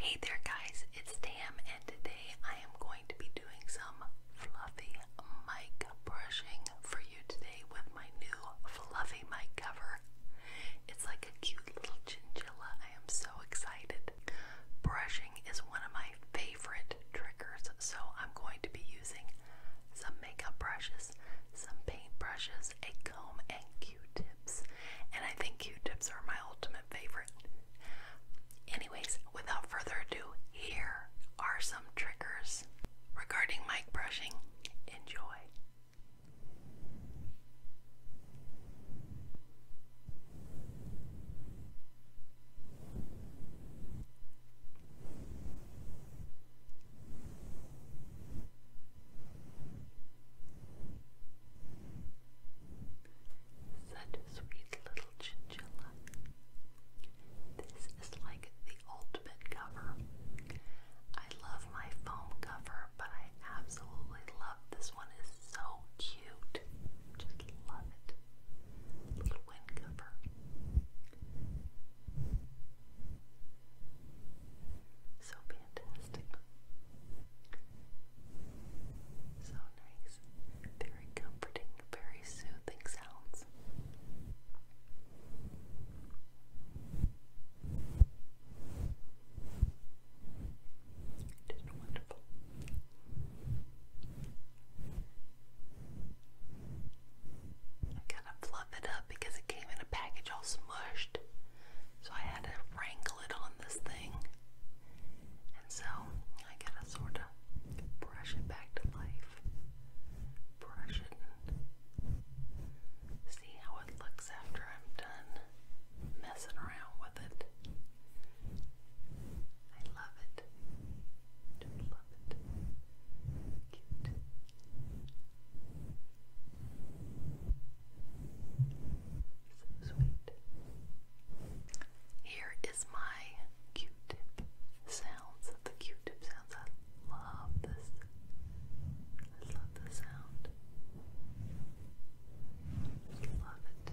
Hey there, guys, it's Tam, and today I am going to be doing some fluffy mic brushing for you today with my new fluffy mic cover. It's like a cute little chinchilla. I am so excited. Brushing is one of my favorite triggers, so I'm going to be using some makeup brushes some paint brushes, a comb, and Q-tips. And I think Q-tips are my ultimate favorite. Anyways, without further ado, here are some triggers regarding mic brushing. Enjoy. Such a sweet little chinchilla. This is like the ultimate cover. I love my foam cover, but I absolutely love this one. It's so cute. Just love it. Little wind cover. So fantastic. So nice. Very comforting, very soothing sounds. wonderful. I Kind to fluff it up because it came in a package all smushed. So I had to wrangle it on this thing. And so I gotta sort of brush it back to life. Brush it and see how it looks after I'm done messing around with it. I love it. Just love it. Cute. So sweet. Here is my Q-tip sounds the Q-tip sounds. I love this. I love the sound. I love it.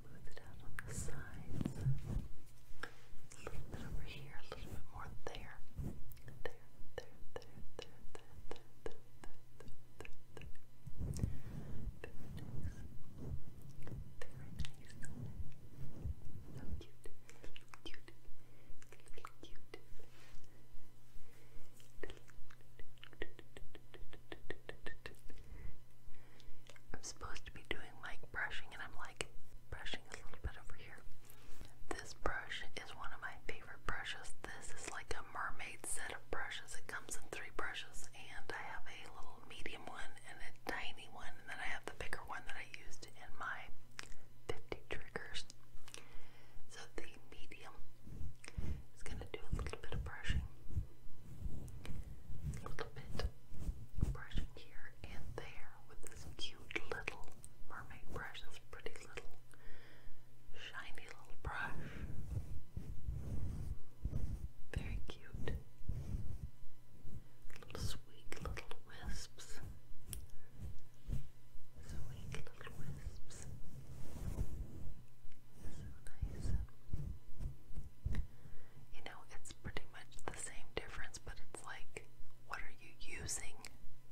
Smooth it A little bit over here, a little bit more there. There, there, there, there, there, there, there, there, there, there. Very nice. Very nice. So cute. Cute. Cute. Cute. I'm supposed to be doing like brushing, and I'm like brushing a little bit over here. This brush is one of my favorite brushes. This is like a mermaid set of brushes. It comes in three brushes, and I have a little medium one and a tiny one, and then I have the bigger one that I used in my 50 triggers. So the medium it's gonna do a little bit of brushing. A little bit brushing here and there with this cute little mermaid brush, this pretty little shiny little brush. Very cute. Little sweet little wisps. Sweet little wisps. This is nice. You know, it's pretty much the same difference, but it's like, what are you using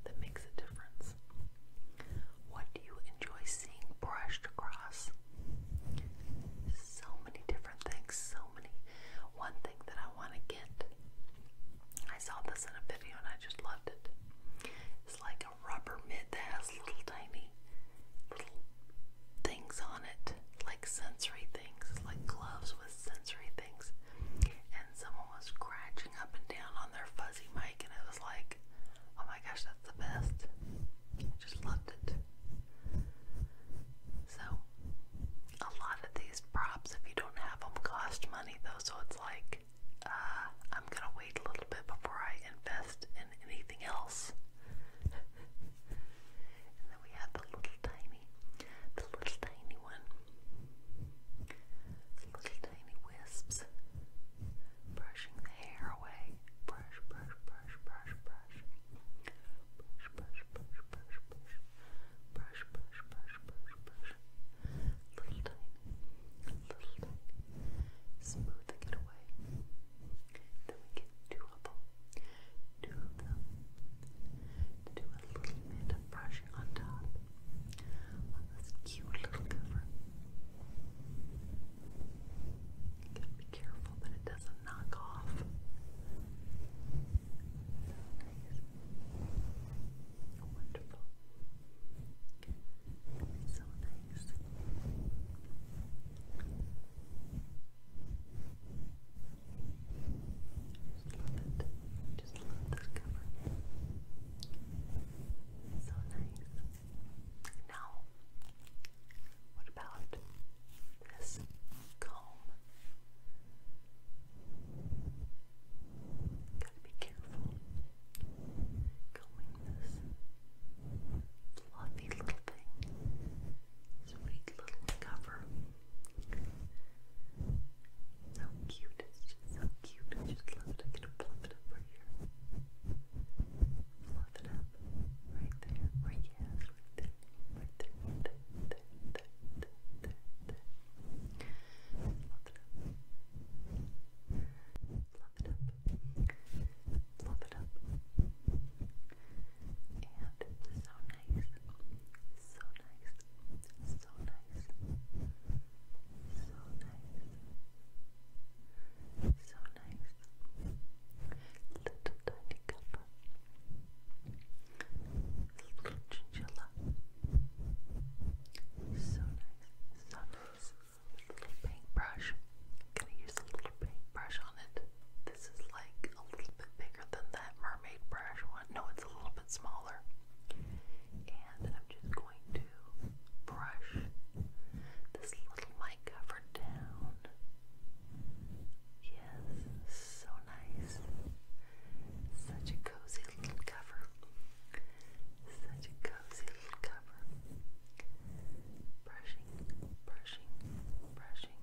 that makes a difference? What do you enjoy seeing brushed across? So many different things, so many. One thing that I want to get, I saw this in a video and I just loved it. It's like rubber mid that has little tiny little things on it, like sensory things, like gloves with sensory things. And someone was scratching up and down on their fuzzy mic, and it was like, oh my gosh, that's the best. I just loved it. So, a lot of these props, if you don't have them, cost money though, so it's like, uh, I'm gonna wait a little bit before I invest anything else. then we have the little tiny, the little tiny one. little tiny wisps brushing the hair away. Brush, brush, brush, brush, brush. Brush, brush, brush, brush, brush. Brush, brush, brush, brush, brush. Little tiny little bit, smoothing it away. Then we get two of them, two of them, to do a little bit of brushing on top on this cute little cover. gotta be careful that it doesn't knock off. So nice. Wonderful. So nice eyes. Just love it. Just love this cover. so nice. Now, what about this comb? Gotta be careful combing this fluffy little thing, sweet little cover. So cute, it's just so cute. I just love it. I can fluff it over it up. Right there. Right yes, right there. Right there. Right there. Right there. Right there. Right there. Right there fluff it up, fluff it up, and so nice, so nice, so nice, so nice, so nice, little tiny cover, little chinchilla, so nice, so nice little paintbrush. gonna use a little paintbrush on it. This is like a little bit bigger than that mermaid brush one. No, it's a little bit smaller. And I'm just going to brush this little mic cover down. Yes, so nice. Such a cozy little cover. Such a cozy little cover. Brushing, brushing, brushing.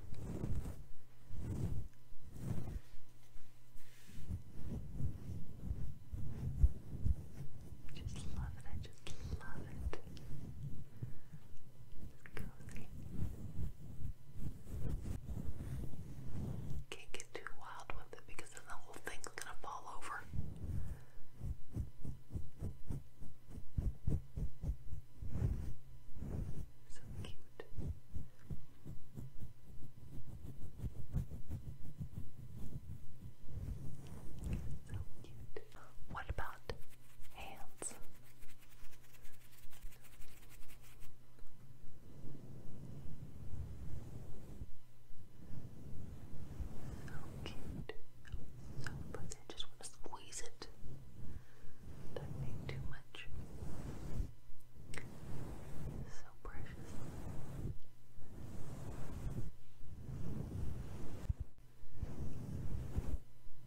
Just love it, I just love it. It's cozy. Kick too wild with it because then the whole thing's gonna fall over. So cute. So cute. What about hands? So cute. So pretty. I just want to squeeze it. Don't need too much. So precious.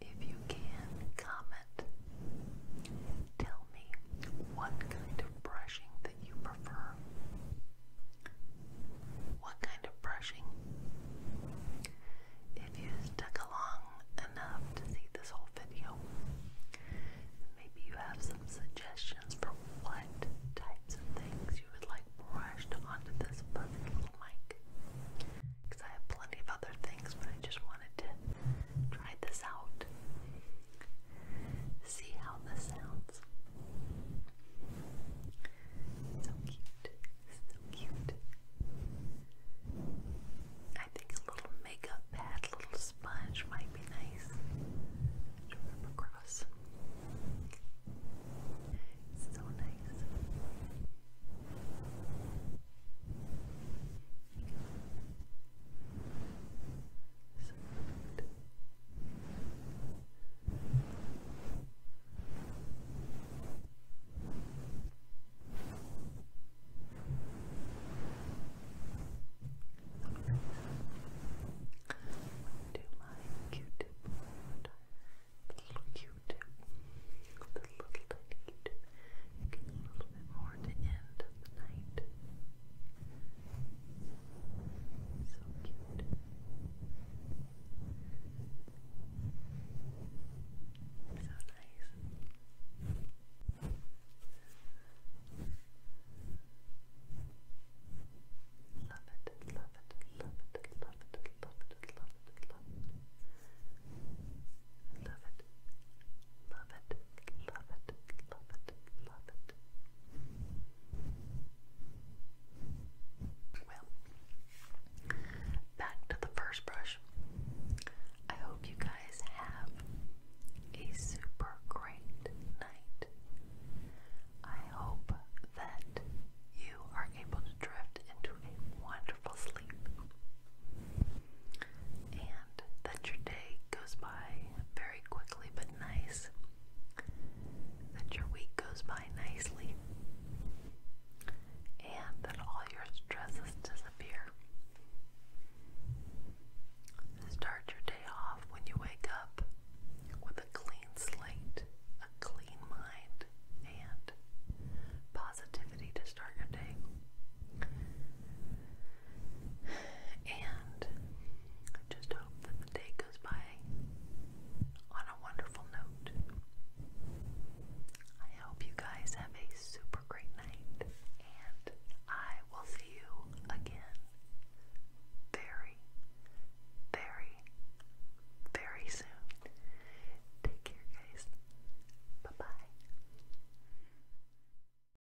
If you can, comment. Tell me what kind of brushing that you prefer. What kind of brushing? If you stuck along enough to see this whole video, maybe you have some suggestions for what types of things you would like brushed onto this little mic. Because I have plenty of other things, but I just wanted to try this out. See how this sounds. So cute. So cute. I think a little makeup pad, little sponge might be nice. To rub across. It's so nice soft to my Q-tip board. little Q-tip, the little tiny q a little bit more to end the night. So cute. So nice. Love it, love it, love it, love it, love it, love it, love it. Love it, love it, love it, love it, well, back to the first brush. I hope you guys have a super great night. I hope that you are able to drift into a wonderful sleep and that your day goes by very quickly but nice, that your week goes by nicely, and that all your stresses disappear. Start your day off when you wake up with a clean slate, a clean mind, and positivity to start your day. And I just hope that the day goes by on a wonderful note. I hope you guys have a super great night, and I will see you again very, very, very soon. Take care, guys. Bye bye.